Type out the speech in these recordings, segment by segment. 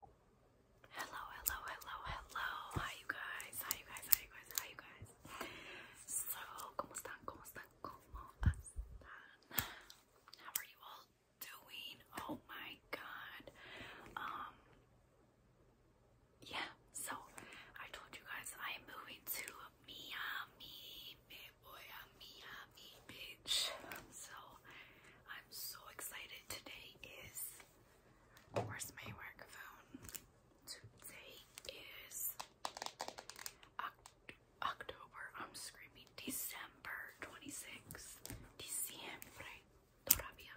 Hello, hello, hello, hello. Hi you guys. Hi you guys. Hi you guys. Hi you guys. So, How are you all doing? Oh my god. Um Yeah, so I told you guys I am moving to Miami. Boy, Miami, bitch. So, I'm so excited. Today is Where's my work phone? Today is October. I'm screaming December 26th. Diciembre todavía.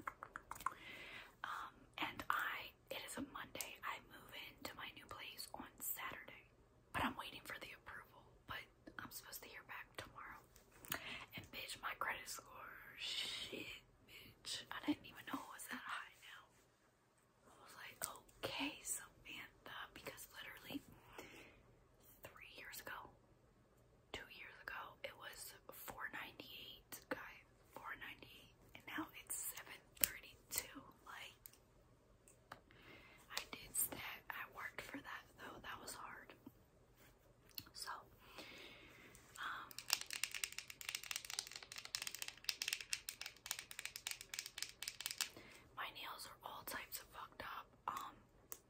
Um, and I, it is a Monday. I move into my new place on Saturday. But I'm waiting for the approval. But I'm supposed to hear back tomorrow. And bitch, my credit score, shit, bitch. I didn't even know it was that high now. I was like, okay, Samantha, because literally three years ago, two years ago, it was 498, guys, 498, and now it's 732. Like, I did that. I worked for that though. That was hard. So, um, my nails are all types of fucked up. Um,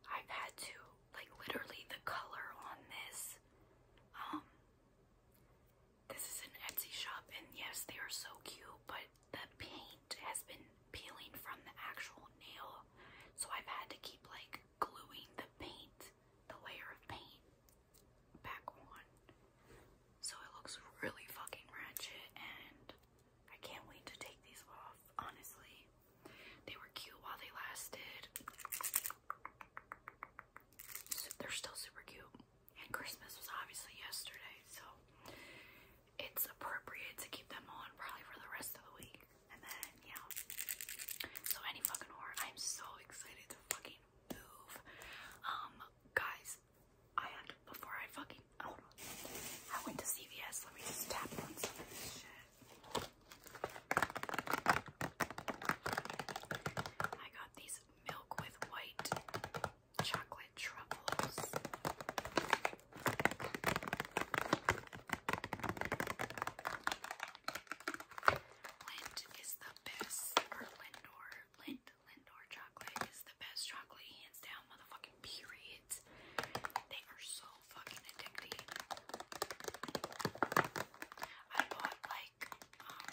I've had to, like, literally the color on this, um, this is an Etsy shop, and yes, they are so cute, but the paint has been peeling from the actual nail, so I've had to keep, like, gluing the paint, the layer of paint, back on. So it looks really fucking ratchet, and I can't wait to take these off, honestly. They were cute while they lasted. they're still super cute. And Christmas was obviously yesterday, so it's appropriate to keep them on probably for the rest of the week. And then, yeah. So any fucking horror, I'm so excited to fucking move. Um, guys, I before I fucking, I went to CVS, let me just tap on I got these milk with white chocolate truffles. Lind is the best, Lindor, Lind, Lindor chocolate is the best chocolate, hands down, motherfucking period. They are so fucking addicting. I bought like, um,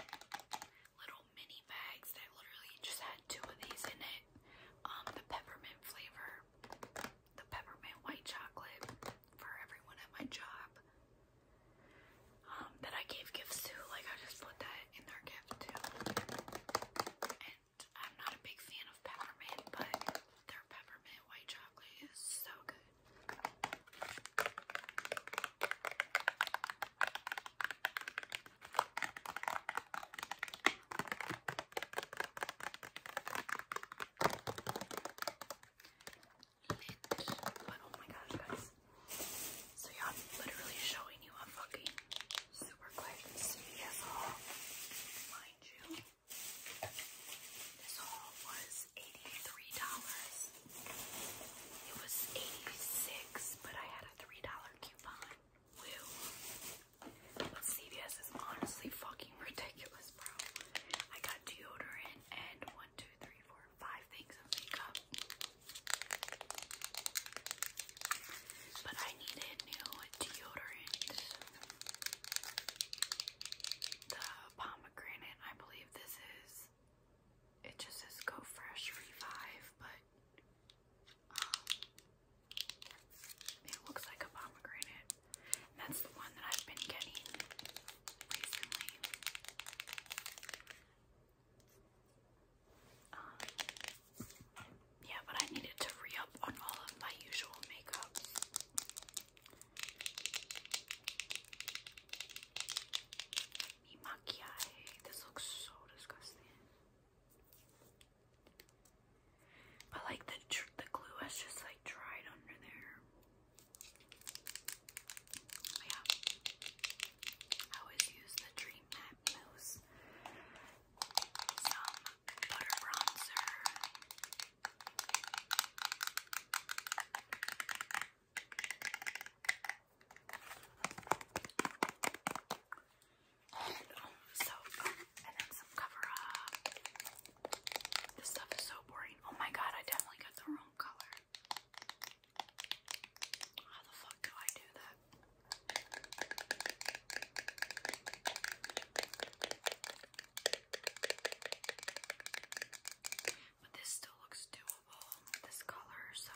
little mini bags that literally just had two of these in it. Um, the peppermint flavor the peppermint white chocolate for everyone at my job um, that I gave gifts to. Like, I just put that in their gift too. And I'm not a big fan of peppermint, but their peppermint white chocolate is so good. But oh my gosh, guys. So yeah, I'm literally showing you a fucking super Mind you, this haul was $83. It was 86 but I had a $3 coupon. Woo. But CVS is honestly fucking ridiculous, bro. I got deodorant and one, two, three, four, five things of makeup. But I needed new deodorant. The pomegranate, I believe this is. It just says Go Fresh Revive, but um, it looks like a pomegranate that's the one that I've been getting recently. Um, yeah, but I needed to re up on all of my usual makeups. Mi maquillaje. This looks so disgusting. But like the the glue has just like dried under there. Oh, yeah. I always use the Dream Matte Mousse. Some butter bronzer. And, um, um, then some cover up. This stuff is so boring. Oh my god, I definitely got the wrong color. How the fuck do I do that? But this still looks doable, this color, so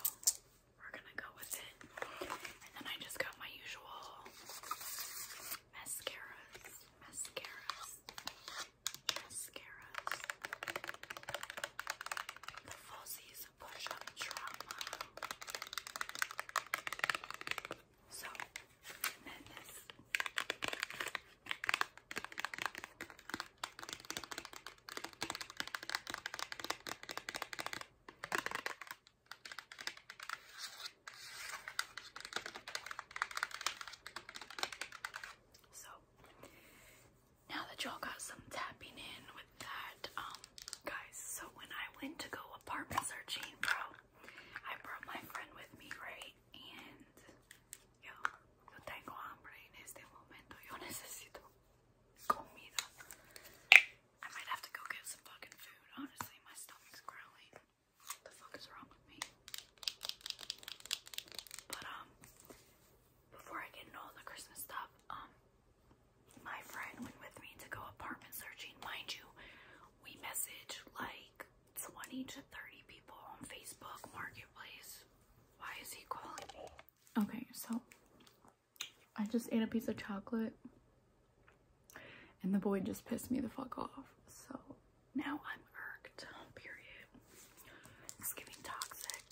we're gonna go with it. And then I just got my usual mascaras. Mascaras mascaras, the Fuzzies Push Up Trauma. So, and so now that y'all got some tapping in with that, um, guys, so when I went to go apartment searching, bro, I brought my friend with me, right? And yo, I might have to go get some fucking food. What the fuck is wrong with me? But um, before I get into all the Christmas stuff, um, my friend went with me to go apartment searching. Mind you, we message like 20 to 30 people on Facebook Marketplace. Why is he calling me? Okay, so I just ate a piece of chocolate and the boy just pissed me the fuck off. So now I'm irked, period. It's giving toxic.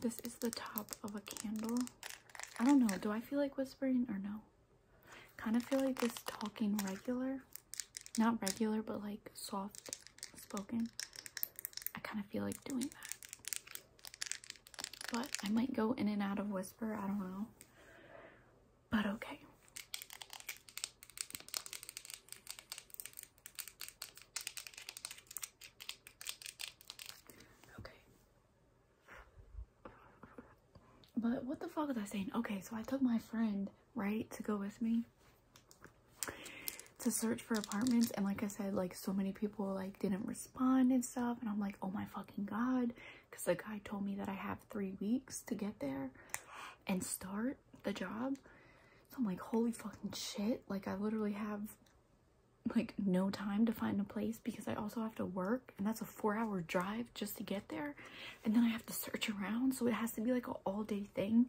This is the top of a candle. I don't know, do I feel like whispering or no? Kind of feel like this talking regular. Not regular, but like soft spoken. I kind of feel like doing that. But I might go in and out of whisper, I don't know. But okay. Okay. But what the fuck was I saying? Okay, so I took my friend, right, to go with me to search for apartments and like I said, like so many people like didn't spun and stuff and i'm like oh my fucking god because the guy told me that i have three weeks to get there and start the job so i'm like holy fucking shit like i literally have like no time to find a place because i also have to work and that's a four hour drive just to get there and then i have to search around so it has to be like an all day thing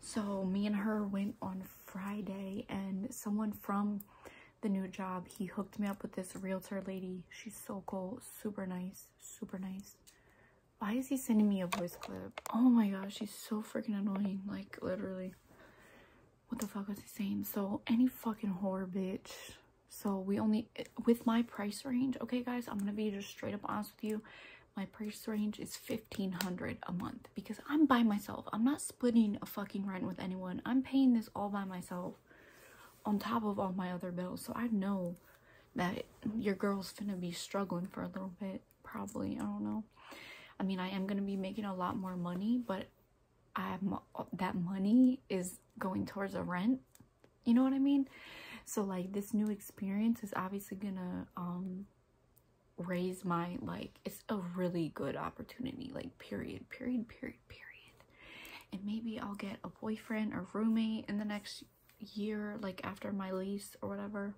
so me and her went on friday and someone from the new job, he hooked me up with this realtor lady. She's so cool, super nice, super nice. Why is he sending me a voice clip? Oh my gosh, he's so freaking annoying. Like, literally. What the fuck was he saying? So, any fucking whore bitch. So, we only, with my price range, okay guys, I'm gonna be just straight up honest with you. My price range is 1500 a month because I'm by myself. I'm not splitting a fucking rent with anyone. I'm paying this all by myself on top of all my other bills. So I know that your girl's gonna be struggling for a little bit, probably. I don't know. I mean, I am gonna be making a lot more money, but I'm that money is going towards a rent. You know what I mean? So like this new experience is obviously gonna um, raise my like it's a really good opportunity like period period period period and maybe I'll get a boyfriend or roommate in the next year like after my lease or whatever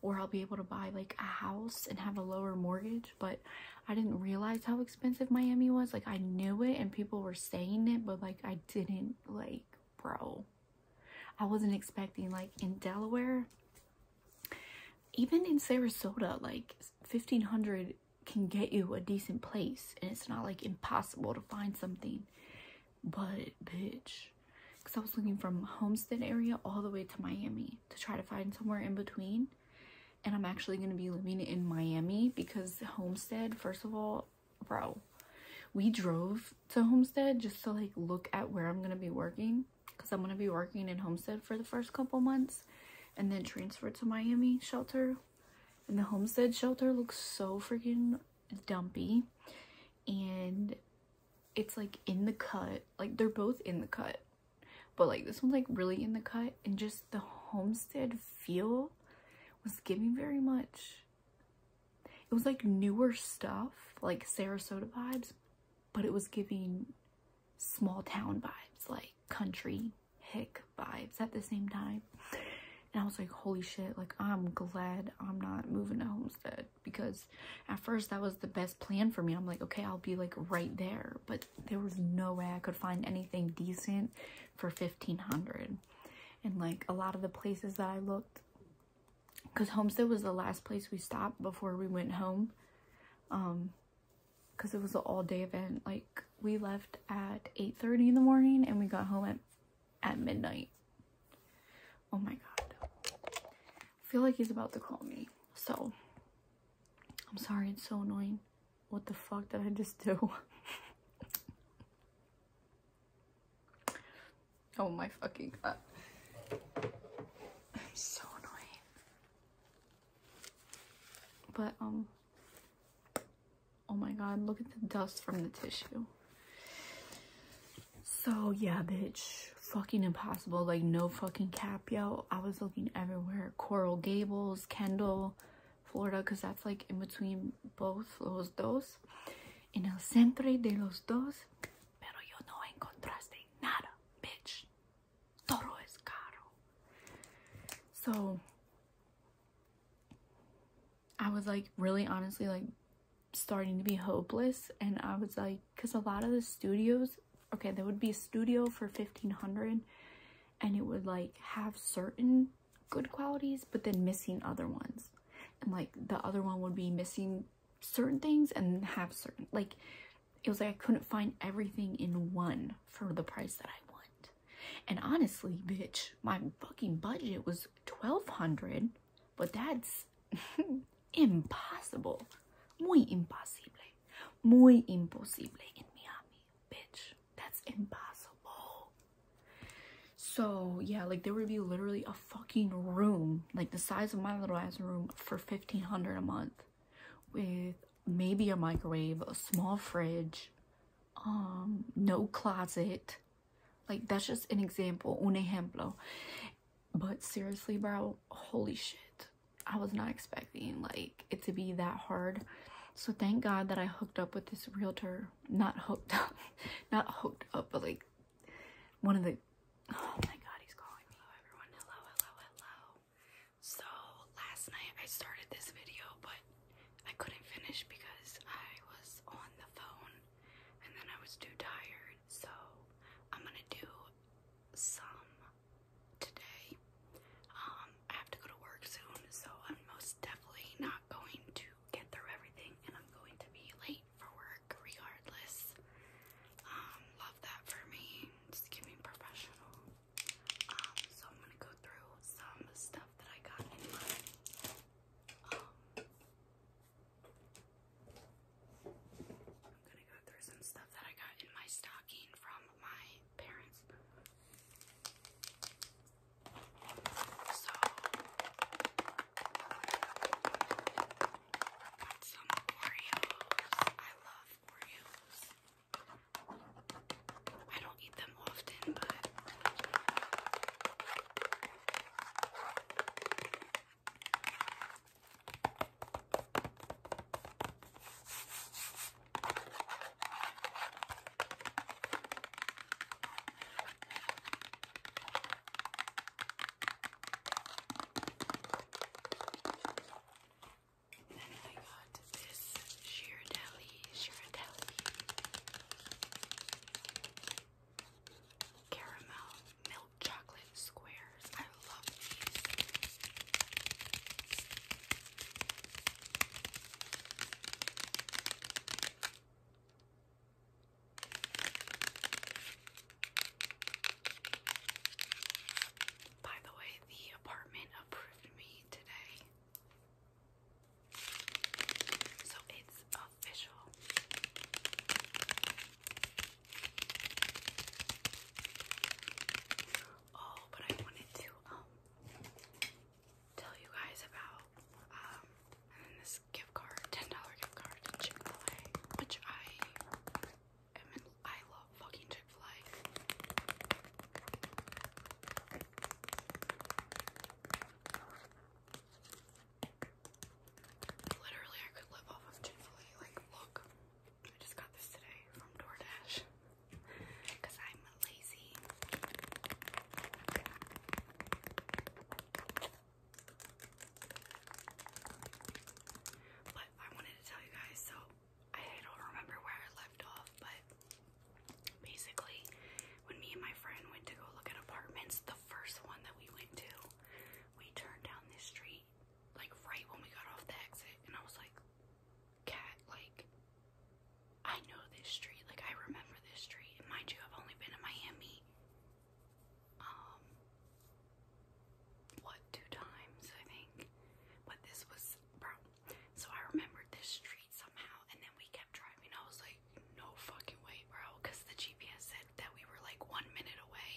or I'll be able to buy like a house and have a lower mortgage but I didn't realize how expensive Miami was like I knew it and people were saying it but like I didn't like bro I wasn't expecting like in Delaware even in Sarasota like 1500 can get you a decent place and it's not like impossible to find something but bitch because i was looking from homestead area all the way to miami to try to find somewhere in between and i'm actually going to be living in miami because homestead first of all bro we drove to homestead just to like look at where i'm going to be working because i'm going to be working in homestead for the first couple months and then transfer to miami shelter and the homestead shelter looks so freaking dumpy. And it's like in the cut. Like they're both in the cut. But like this one's like really in the cut. And just the homestead feel was giving very much. It was like newer stuff. Like Sarasota vibes. But it was giving small town vibes. Like country hick vibes at the same time. And I was like, holy shit, like I'm glad I'm not moving to Homestead because at first that was the best plan for me. I'm like, okay, I'll be like right there. But there was no way I could find anything decent for 1500 And like a lot of the places that I looked, because Homestead was the last place we stopped before we went home. Um, because it was an all-day event like we left at 8:30 in the morning and we got home at, at midnight oh my god I feel like he's about to call me so i'm sorry it's so annoying what the fuck did i just do oh my fucking god i'm so annoying but, um, oh my god, look at the dust from the tissue. So, yeah, bitch. Fucking impossible. Like, no fucking cap, yo. I was looking everywhere. Coral Gables, Kendall, Florida, because that's like in between both los dos. In el centro de los dos. Pero yo no encontraste nada, bitch. Toro es caro. So I was like really honestly like starting to be hopeless and I was like because a lot of the studios okay there would be a studio for 1500 and it would like have certain good qualities but then missing other ones and like the other one would be missing certain things and have certain like it was like I couldn't find everything in one for the price that I want and honestly, bitch, my fucking budget was 1200 but that's impossible. Muy imposible. Muy imposible in Miami, bitch. That's impossible. So, yeah, like there would be literally a fucking room, like the size of my little ass room for 1500 a month with maybe a microwave, a small fridge, um, no closet. Like, that's just an example, un ejemplo. But seriously, bro, holy shit. I was not expecting, like, it to be that hard. So thank God that I hooked up with this realtor. Not hooked up. Not hooked up, but, like, one of the... Oh, my God, he's calling me. Hello, Hello, hello, hello. So last night I started this video, but I couldn't finish because I was on the phone and then I was too tired. So I'm gonna do some today. Um, I have to go to work soon, so I'm most definitely not going to get through everything and I'm going to be late for work regardless. Um, love that for me. Just give me professional. Um, so I'm gonna go through some stuff that I got in my um, I'm gonna go through some stuff that I got in my stocking from my parents. So got some Oreos. I love Oreos. I don't eat them often, but then I got this Shirdelli, Shirdelli caramel milk chocolate squares. I love these. By the way, the apartment approved loved So it's official. Oh, but I wanted to um tell you guys about um this gift card, ten dollar gift card which I am I love fucking Chick-fil-A. Literally, I could live off of Chick-fil-A. Like, look, I just got this today from DoorDash because I'm lazy. But I wanted to tell you guys so I don't remember where I left off, but basically, when me and my friend went to go look at apartments, the first one that we went to, we turned down this street, like right when we got off the exit, and I was like, Cat, like, I know this street, like, I remember this street. And mind you, I've only been in Miami, um, what, two times, I think. But this was so I remembered this street somehow, and then we kept driving. I was like, no fucking way, bro, because the GPS said that we were like one minute away.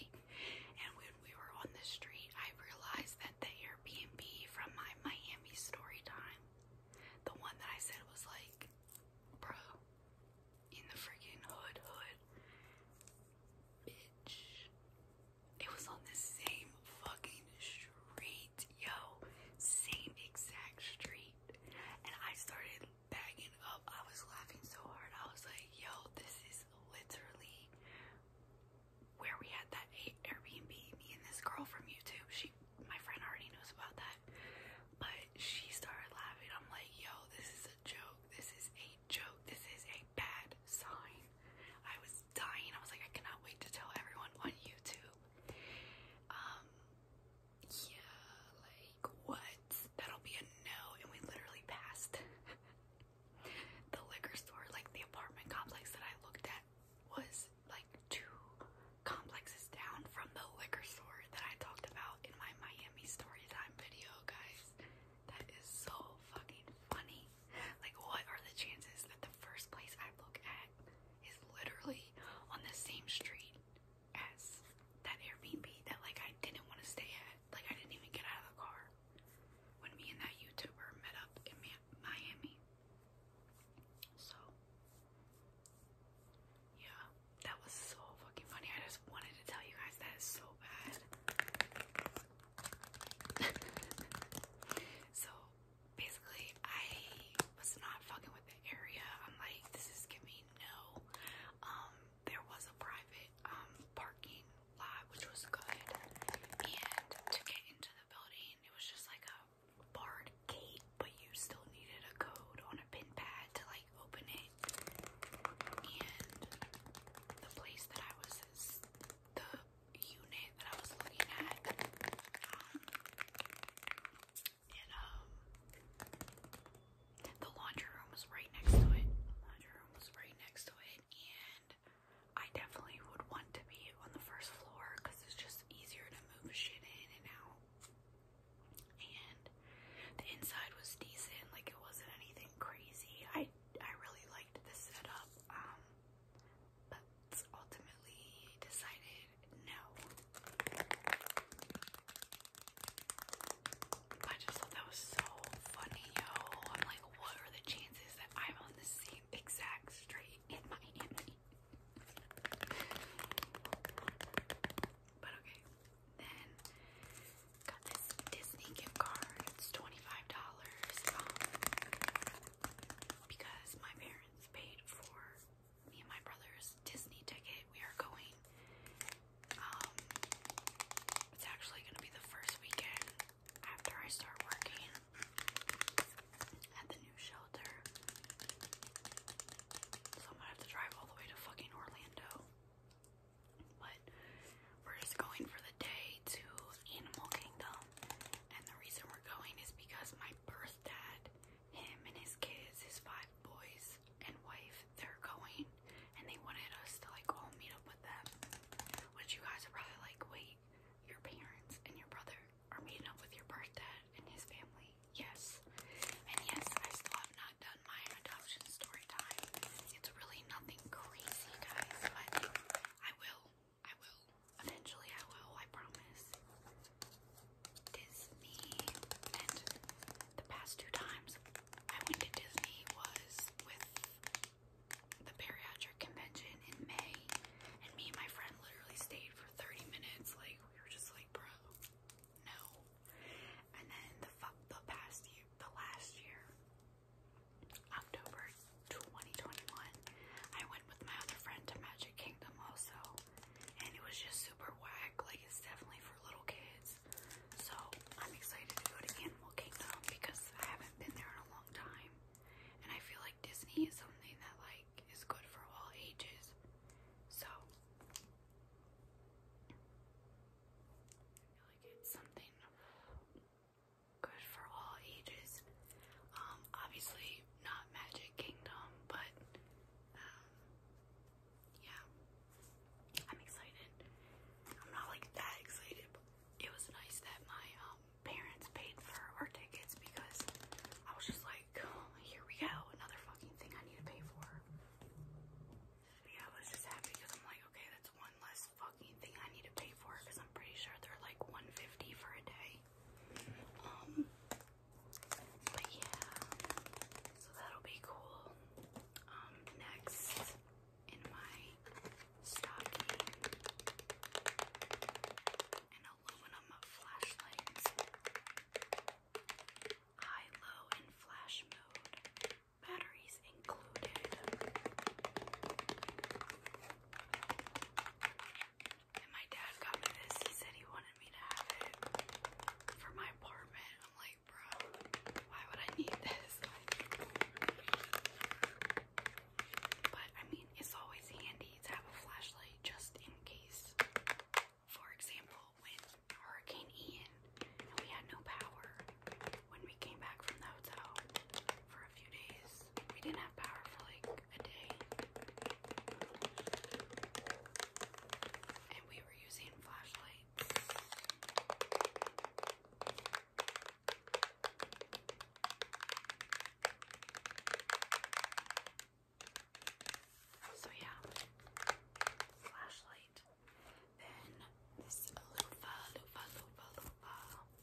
And when we were on the street, I realized that the Airbnb from my Miami story time, the one that I said was like, bro, in the freaking hood, hood, bitch, it was on the same fucking street, yo. Same exact street. And I started bagging up. I was laughing so hard. I was like, yo, this is literally where we had that Airbnb. Me and this girl from YouTube, she, my friend already knows about that. But she started laughing. I'm like, yo, this is a joke. This is a joke. This is a bad sign. I was dying. I was like, I cannot wait to tell everyone on YouTube. Um, yeah, like what? That'll be a no. And we literally passed the liquor store. Like the apartment complex that I looked at was like two complexes down from the liquor store that I talked about in my Miami story video, guys. That is so fucking funny. Like, what are the chances that the first place I look at is literally on the same street as that Airbnb that, like, I didn't want to stay at? Like, I didn't even get out of the car when me and that YouTuber met up in Miami. So, yeah, that was so fucking funny. I just wanted to tell you guys that is so bad. so, basically I was not fucking with the area. I'm like, this is giving no. Um, there was a private um parking lot which was good. And to get into the building it was just like a barred gate, but you still needed a code on a pin pad to like open it. And the place that I was the unit that I was looking at. Um, and um the laundry room was right next to it. laundry room was right next to it and I definitely would want to be on the first floor because it's just easier to move shit in and out. And the inside was decent, like it wasn't anything crazy. I I really liked the setup. Um, but ultimately decided no. I just thought that was so funny, yo. I'm like, what are the chances that I'm on the same exact street in Miami? but okay. Then got this Disney gift card. It's $25. Um, because my parents paid for me and my brother's Disney ticket. We are going. Um, it's actually going to be the first weekend after I start working at the new shelter. So I'm going to have to drive all the way to fucking Orlando. But we're just going for the day to Animal Kingdom. And the reason we're going is because my birth dad, him and his kids, his five boys and wife, they're going and they wanted us to like all meet up with them. Which you guys are probably like, wait, your parents and your brother are meeting up with your birth dad and his family. Yes. And yes, I still have not done my adoption story time. It's really nothing crazy, guys, but I will. I will. Eventually I will, I promise. Disney and the past two times I went to Disney was with the bariatric convention in May and me and my friend literally stayed for 30 minutes like we were just like bro no and then the the past year the last year October 2021, I went with my other friend to Magic Kingdom also, and it was just super whack. Like, it's definitely for little kids. So, I'm excited to go to Animal Kingdom because I haven't been there in a long time, and I feel like Disney is something that, like, is good for all ages. So, I feel like it's something good for all ages. Um, obviously not Magic Kingdom, but um, yeah, I'm excited. I'm not like that excited, but it was nice that my um, parents paid for our tickets because I was just like, oh, here we go, another fucking thing I need to pay for. Yeah, I was just happy because I'm like, okay, that's one less fucking thing I need to pay for because I'm pretty sure they're like 150 for a day. Um, but yeah, so that'll be cool. Um, next in my stocking, an aluminum flashlight. High, low, and flash mode. Batteries included my dad got me this. He said he wanted me to have it for my apartment. I'm like, bro, why would I need this? But I mean, it's always handy to have a flashlight just in case. For example, when Hurricane Ian we had no power when we came back from the hotel, for a few days. We didn't have power for like a day. And we were using flashlights. So yeah, flashlight. Then this loofah, loofah, loofah, loofah.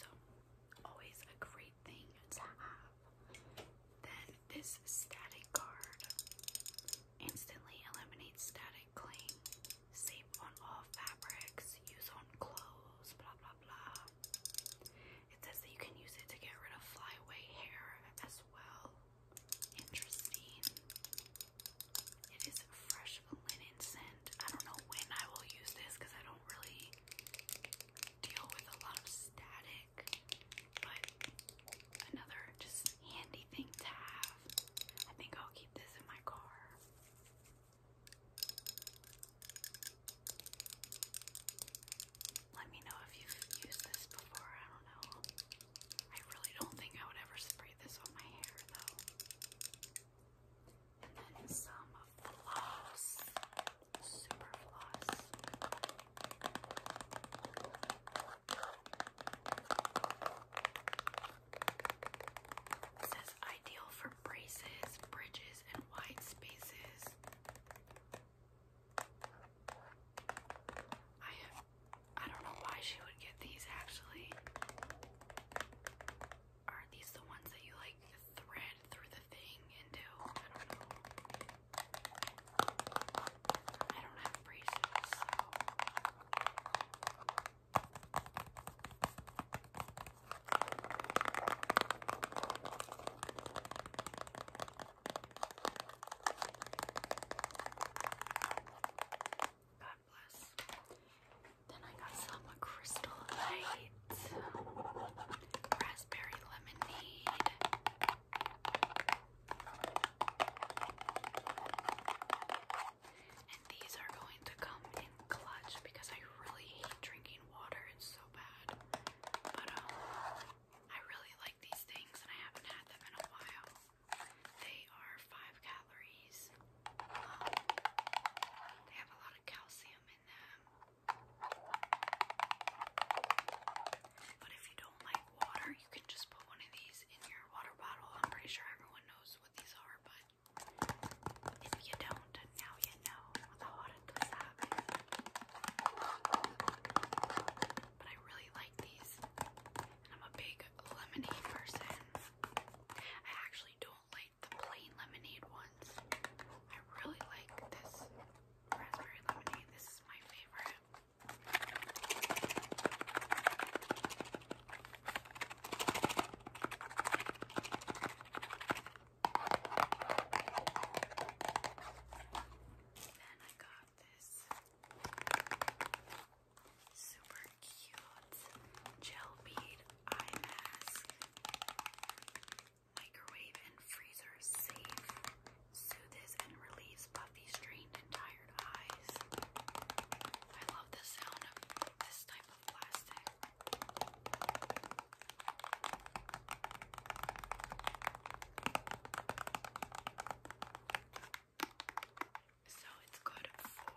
So, always a great thing to have. Then, this static card instantly eliminates static cling. Safe on all fabrics, use on clothes, blah blah blah. It says that you can use it to get rid of flyaway hair as well. Interesting. It is fresh linen scent. I don't know when I will use this because I don't really deal with a lot of static, but another just handy thing to have. I think I'll keep this in my car. Let me know if you've used this before. I don't know. I really don't think I would ever spray this on my hair though. And then some floss. Super floss. says ideal for braces, bridges, and wide spaces. I I don't know why she would get these actually are these the ones that you like thread through the thing and do? I don't have braces, then I got some Crystal Light, Raspberry Lemonade. And these are going to come in clutch because I really hate drinking water. It's so bad. But um, I really like these things and I haven't had them in a while. They are 5 calories, they have a lot of calcium in them. But if you don't like water, you can just put one of these in your water bottle. I'm pretty sure everyone knows what these are, but if you don't, now you know. But I really like these. And I'm a big lemonade person. I actually do like the plain lemonade ones. I really like this raspberry lemonade. This is my favorite. Then I got this Super cute gel bead eye mask. Microwave and freezer safe. Soothes and relieves puffy, strained, and tired eyes. I love the sound of this type of plastic. So it's good for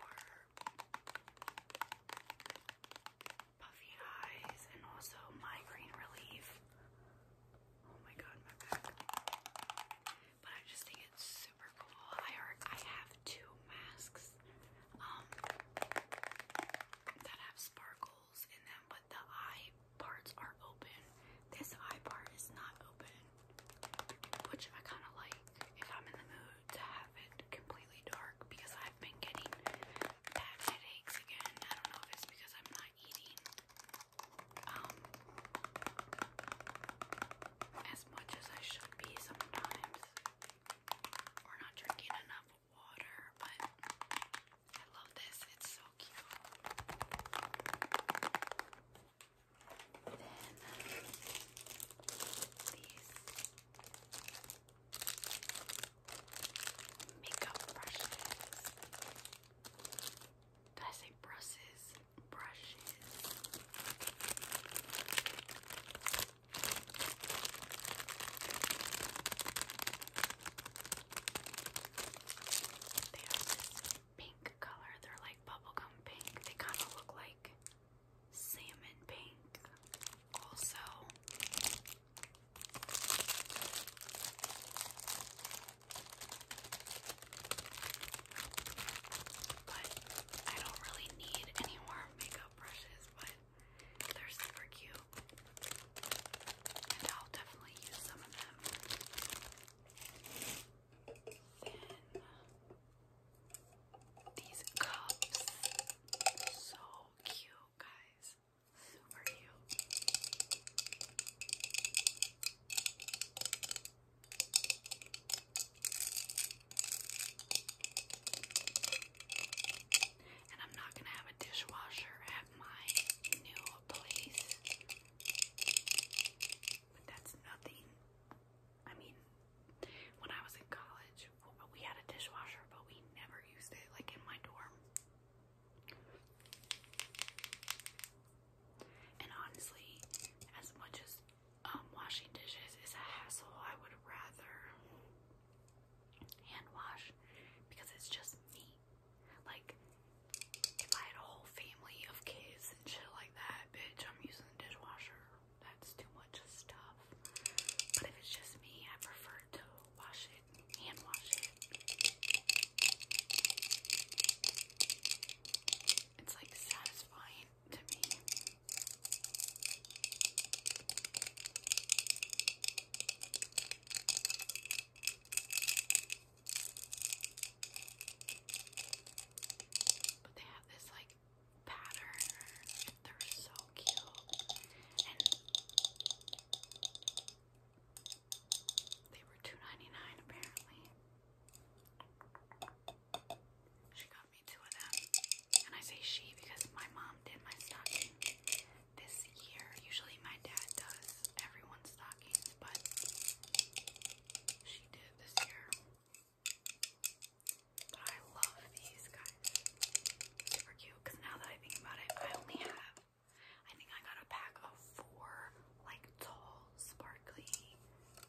puffy eyes and also migraine relief. Oh my god, my back. But I just think it's super cool. I are, I have two masks um that have sparkles in them, but the eye parts are open. This eye part is not open, which I kind of like if I'm in the mood to have it completely dark because I've been getting bad headaches again. I don't know if it's because I'm not eating um as much as I should be sometimes or not drinking enough water, but I love this. It's so cute. Then these makeup brushes. Did I say brushes? Brushes. They are pink color. They're like bubblegum pink. They kind of look like salmon pink. Also, but I don't really need any more makeup brushes, but they're super cute. And I'll definitely use some of them these cups. So cute, guys. Super cute. And I'm not gonna have a dishwasher at my new place. that's nothing I mean, when I was in college, we had a dishwasher, but we never used it, like in my dorm. And honestly, as much as um, washing dishes is a hassle, I would rather hand wash because it's just me. Like, if I had a whole family of kids and shit like that, bitch, I'm using the dishwasher that's too much stuff. But if it's just me, I prefer to wash it, hand wash it. It's like satisfying to me. But they have this like like pattern. They're so cute. they were 2 apparently. She got me two of them. And I say she because my mom did my stocking this year. Usually my dad does everyone's stockings, but she did this year. But I love these guys. Super cute. Because now that I think about it, I only have, I think I got a pack of four like tall, sparkly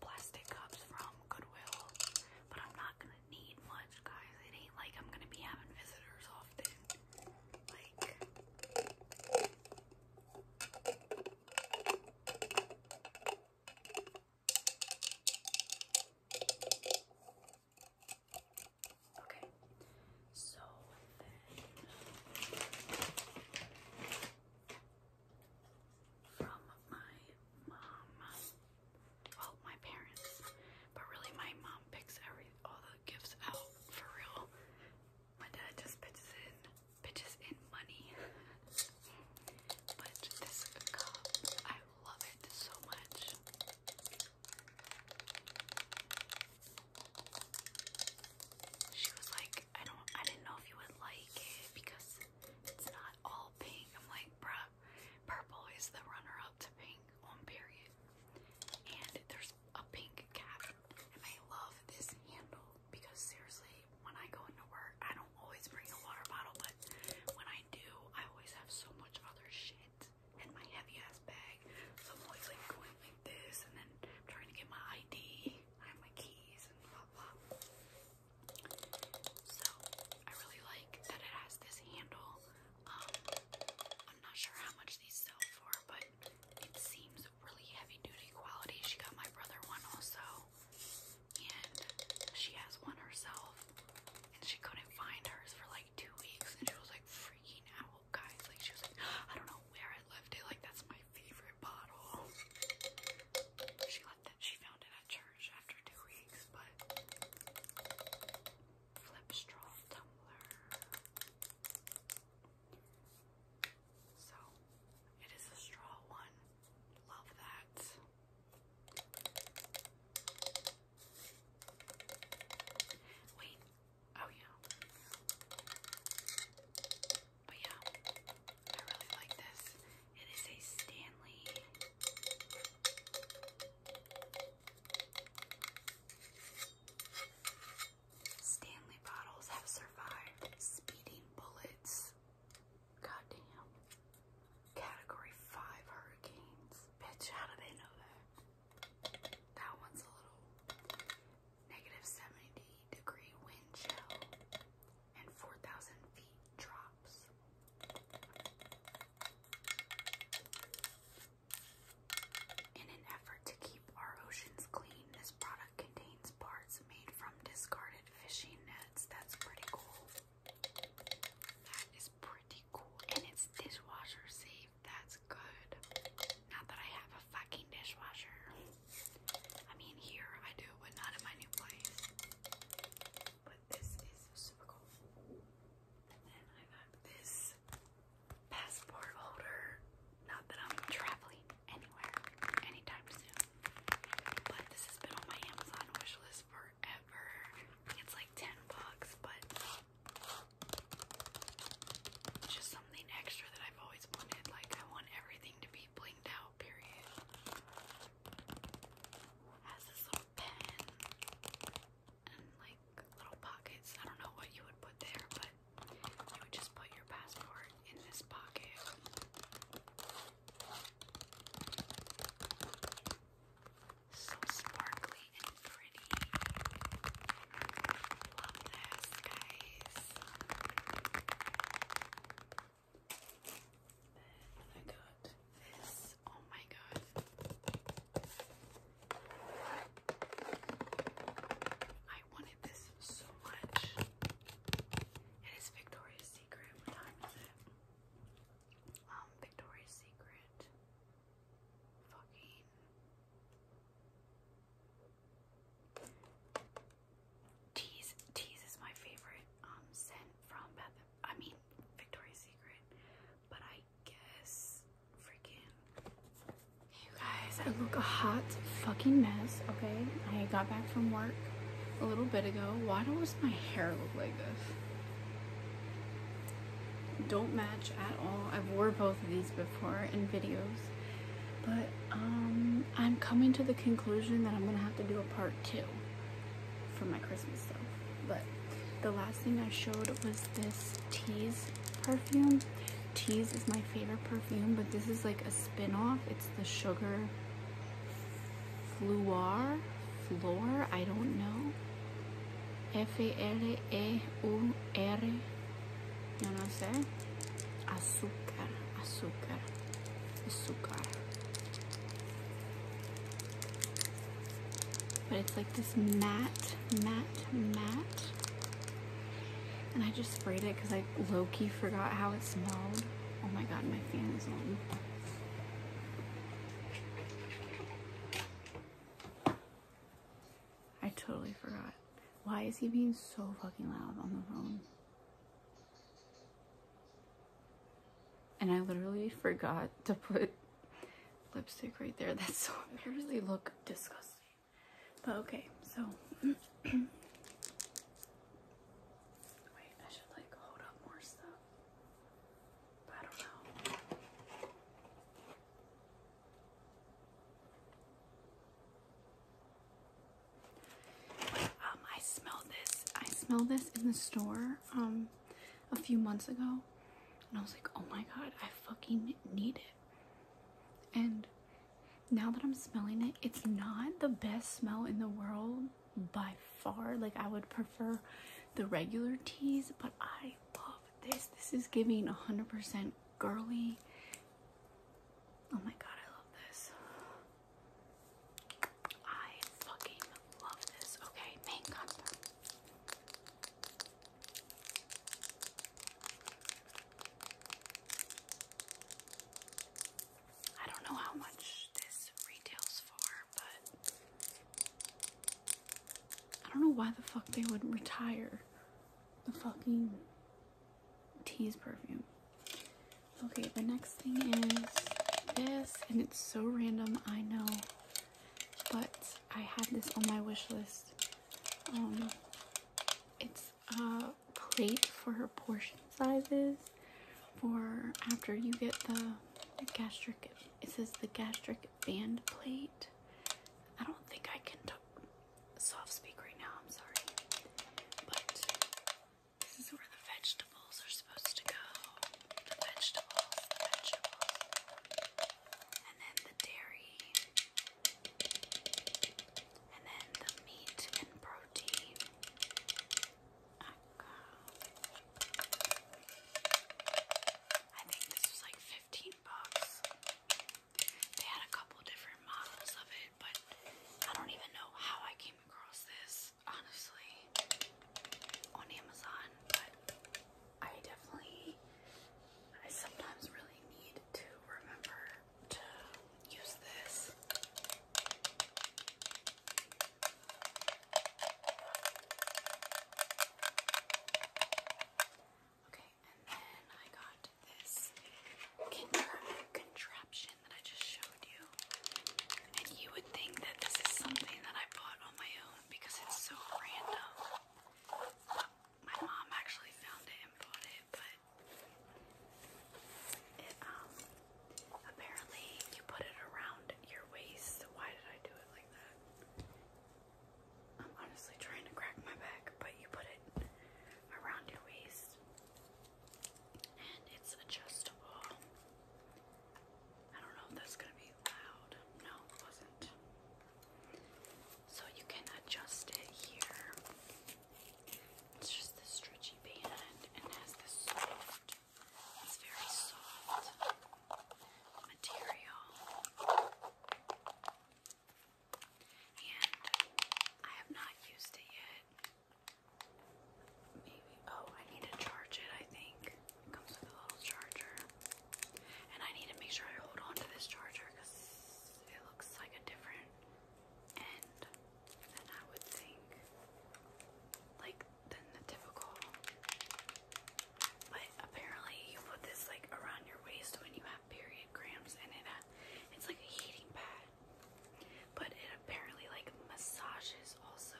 plastic cups from Goodwill. But I'm not going to need much, guys. It ain't like I'm going to be having visitors often. Like, Okay, so from my mom, well, my parents, but really my mom picks every all the gifts out for real. My dad just pitches in, pitches in money. But this cup, I love it so much. She was like, I don't, I didn't know if you would like it because it's not all pink. I'm like, bruh, purple is the runner up to pink on period. And there's a pink cap. And I love this handle because seriously, when I go into work, I don't always bring a water bottle, but when I do, I always have so much other shit in my heavy ass bag. So I'm always like going like this, and then I'm trying to get my ID. I have my keys and blah blah. So I really like that it has this handle. Um, I'm not sure how much these sell for, but it seems really heavy duty quality. She got my brother one also and she has one herself, and she couldn't find hers for like two weeks, and she was like freaking out, guys. Like she was like, I don't know where I left it. Like that's my favorite bottle. She left it. She found it at church after two weeks, but flip straw tumbler. So it is a straw one. Love that. Wait. Oh yeah. But yeah, I really like this. It is a Stanley. Stanley bottles have survived speeding bullets. Goddamn. Category 5 hurricanes. Bitch, how do they know that? That one's a little negative 70 degree wind and 4,000 feet drops. In an effort to keep our oceans clean, this product contains parts made from discarded fishing nets. That's pretty cool. That is pretty cool. And it's dishwasher safe. That's good. Not that I have a fucking dishwasher. I mean, here I do, but not in my new place. But this is super cool. And I got this passport holder. Not that I'm traveling anywhere anytime soon. But this has been on my Amazon wish forever. It's like 10 bucks, but just something extra that I've always wanted. Like, I want everything to be blinged out, period. has this little pen and like little pockets. I don't know what you would put there, but you would just put your passport in this pocket. So sparkly and pretty. Love this, guys. Then I got this. Oh my god. I wanted this so much. It is Victoria's Secret. What time is it? um, Victoria's Secret, fucking Tease. Tease is my favorite um scent from Beth. I mean Victoria's Secret, but I guess freaking. you guys, I look a hot fucking mess. Okay, I got back from work a little bit ago. Why does my hair look like this? Don't match at all. I've wore both of these before in videos. But um, I'm coming to the conclusion that I'm going to have to do a part two for my Christmas stuff. But the last thing I showed was this Tease perfume. Tease is my favorite perfume, but this is like a spin-off. It's the sugar Fluor, floor, I don't know. F-L-E-U-R, yo no sé. Azúcar, azúcar, azúcar. But it's like this matte, matte, matte. And I just sprayed it because I Loki forgot how it smelled. Oh my god, my fan is on. I totally forgot. Why is he being so fucking loud on the phone? And I literally forgot to put lipstick right there. That's so They look disgusting. But okay, so. Wait, I should like hold up more stuff. I don't know. Um, I smelled this. I smelled this in the store um a few months ago, and I was like, oh my god, I fucking need it. And now that I'm smelling it, it's not the best smell in the world by far. Like I would prefer the regular teas, but I love this. This is giving 100% girly. Oh my god, I love this. I fucking love this. Okay, main I don't know how much this retails for, but I don't know why the fuck they would retire the fucking tease perfume. Okay, the next thing is this, and it's so random, I know, but I had this on my wish list. Um, it's a plate for her portion sizes, for after you get the, gastric, it says the gastric band plate. I don't think I can talk, soft speak right now, I'm sorry. this is where the vegetables are supposed to go. vegetables, the vegetables. And then the dairy. And then the meat and protein. I think this was like 15 bucks. They had a couple different models of it, but I don't even know how I came across this, honestly, on Amazon. But I definitely, I sometimes really need to remember to use this. Okay, and then I got this contra contraption that I just showed you. And you would think that this is something that I bought on my own because it's so random. My mom actually found it and bought it, but it um Apparently, you put it around your waist. Why did I do it like that? I'm honestly trying to crack my back, but you put it around your waist. And it's adjustable. I don't know if that's going to be loud. No, it wasn't. So you can adjust it here. It's just this stretchy band and has this soft it's very soft material. And I have not used it yet. Maybe, oh, I need to charge it, I think. It comes with a little charger. And I need to make sure I hold on to this charger because it looks like a different end. And I would think, like, than the typical. But apparently, you put this like around your waist when you have period cramps, and it uh, it's like a heating pad. But it apparently like massages also.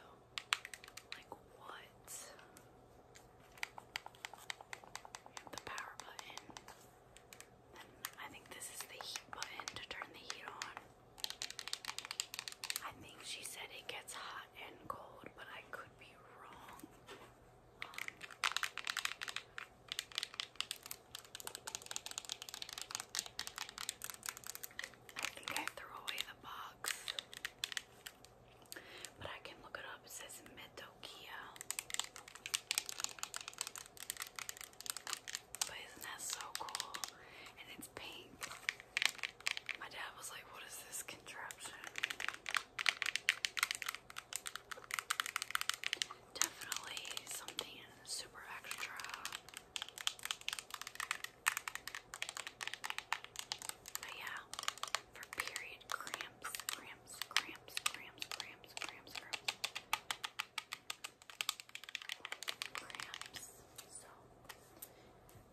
Like what? The power button. I think this is the heat button to turn the heat on. I think she said it gets hot and cold, but I could be wrong. I think I threw away the box, but I can look it up. It says Metokia. But isn't that so cool? And it's pink. My dad was like, what is this contraption? Definitely something super extra. But yeah, for period cramps, cramps, cramps, cramps, cramps, cramps, grams. So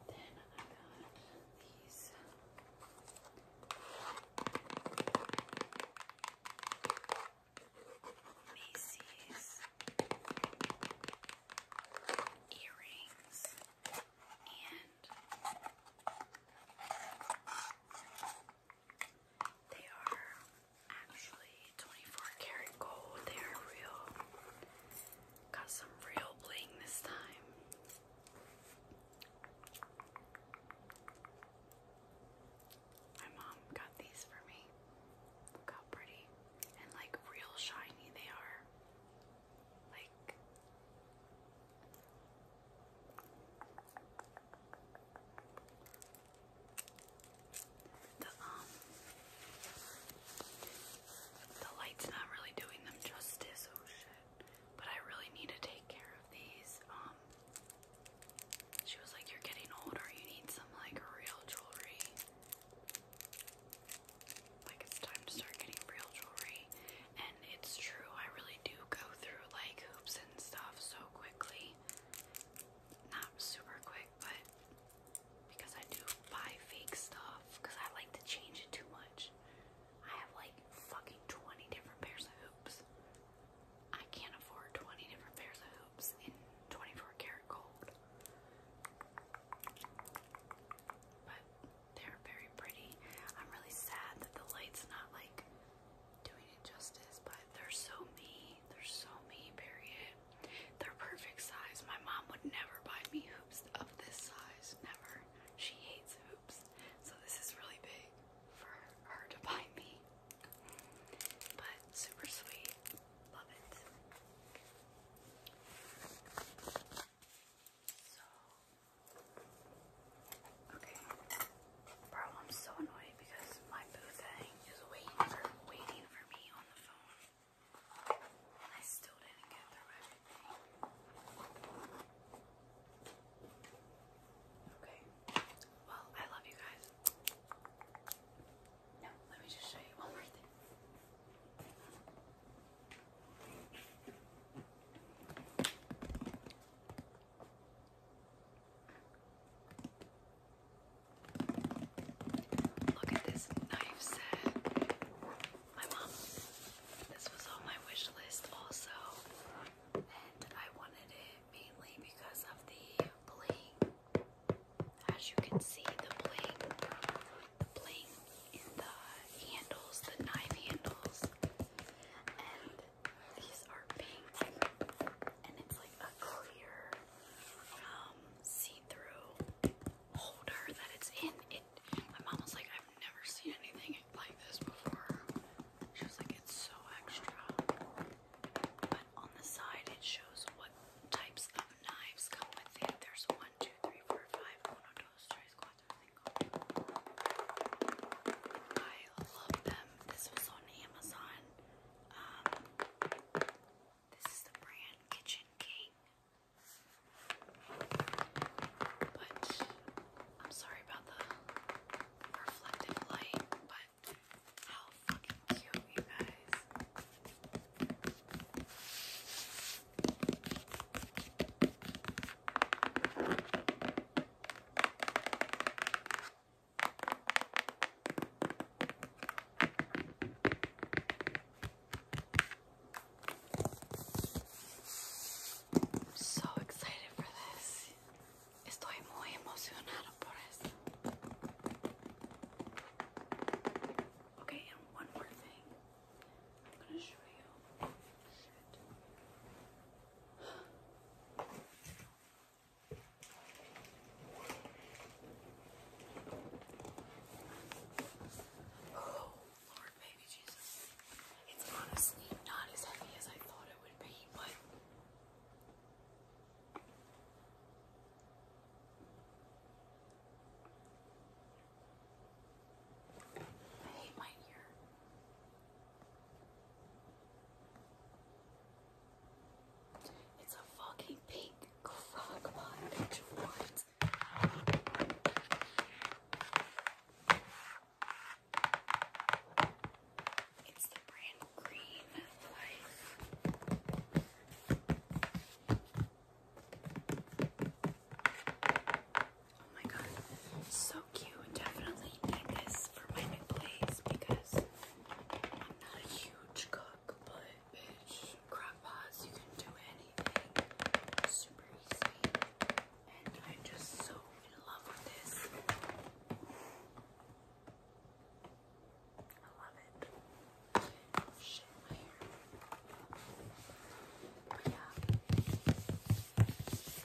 Macy's earrings and they are actually 24 karat gold. They are real. Got some real bling this time. My mom got these for me. Look how pretty and like real shiny they are. Like the um the light's not really doing them justice, oh shit. But I really need to take care of these. Um she was like, You're getting older, you need some like real jewelry. Like it's time to start getting real jewelry. And it's true, I really do go through like hoops and stuff so quickly. Not super quick, but because I do buy fake stuff, because I like to change it too much, I have like fucking 20 different pairs of hoops. I can't afford 20 different pairs of hoops in 24 karat gold. But they're very pretty. I'm really sad that the light's not like doing it justice, but they're so me. They're so me, period. They're perfect size. My mom would never buy me hoops of this size. Never. She hates hoops. So this is really big for her to buy me. But super sweet. Love it. So Okay. Bro, I'm so annoyed because my boo is waiting for waiting for me on the phone. I still didn't get through everything. Okay. Well, I love you guys. Now, let me just show you one more thing. Look at this knife set. My mom, this was on my wish list also, and I wanted it mainly because of the bling. As you can see, the bling, the bling in the handles, the knife handles, and these are pink, and it's like a clear um, see-through holder that it's in. my mom was like, I've never seen anything like this before. She was like, it's so extra. But on the side it shows what types of knives come with it. There's one, two, three, four, five, I love them. This was on Amazon. Um, this is the brand Kitchen King. But I'm sorry about the reflective light, but how fucking cute, you guys. I'm so excited for this. Estoy muy emocionada por esto. Okay, and one more thing. I'm gonna show you. Oh, Lord, baby Jesus. It's honestly not as heavy as I thought it would be, but. I hate my ear. It's a fucking pink crock pot It's the brand Green Life. Oh my god, so cute. Definitely need this for my new because I'm not a huge cook, but Bitch, crock you can do anything. Super easy. And I'm just so in love with this. I love it. Oh, shit, my hair.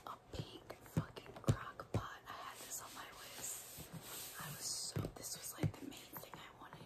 A pink fucking crock pot. I had this on my list. I was so, this was like the main thing I wanted.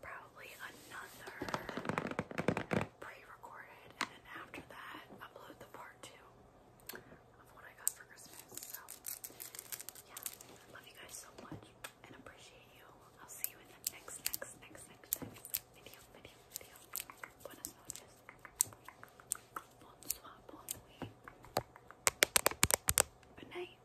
probably another pre-recorded, and then after that, upload the part two of what I got for Christmas. So, yeah, I love you guys so much and appreciate you. I'll see you in the next, next, next, next, next video, video, video. Buenas noches. Bonsoir, bon nuit. Good night.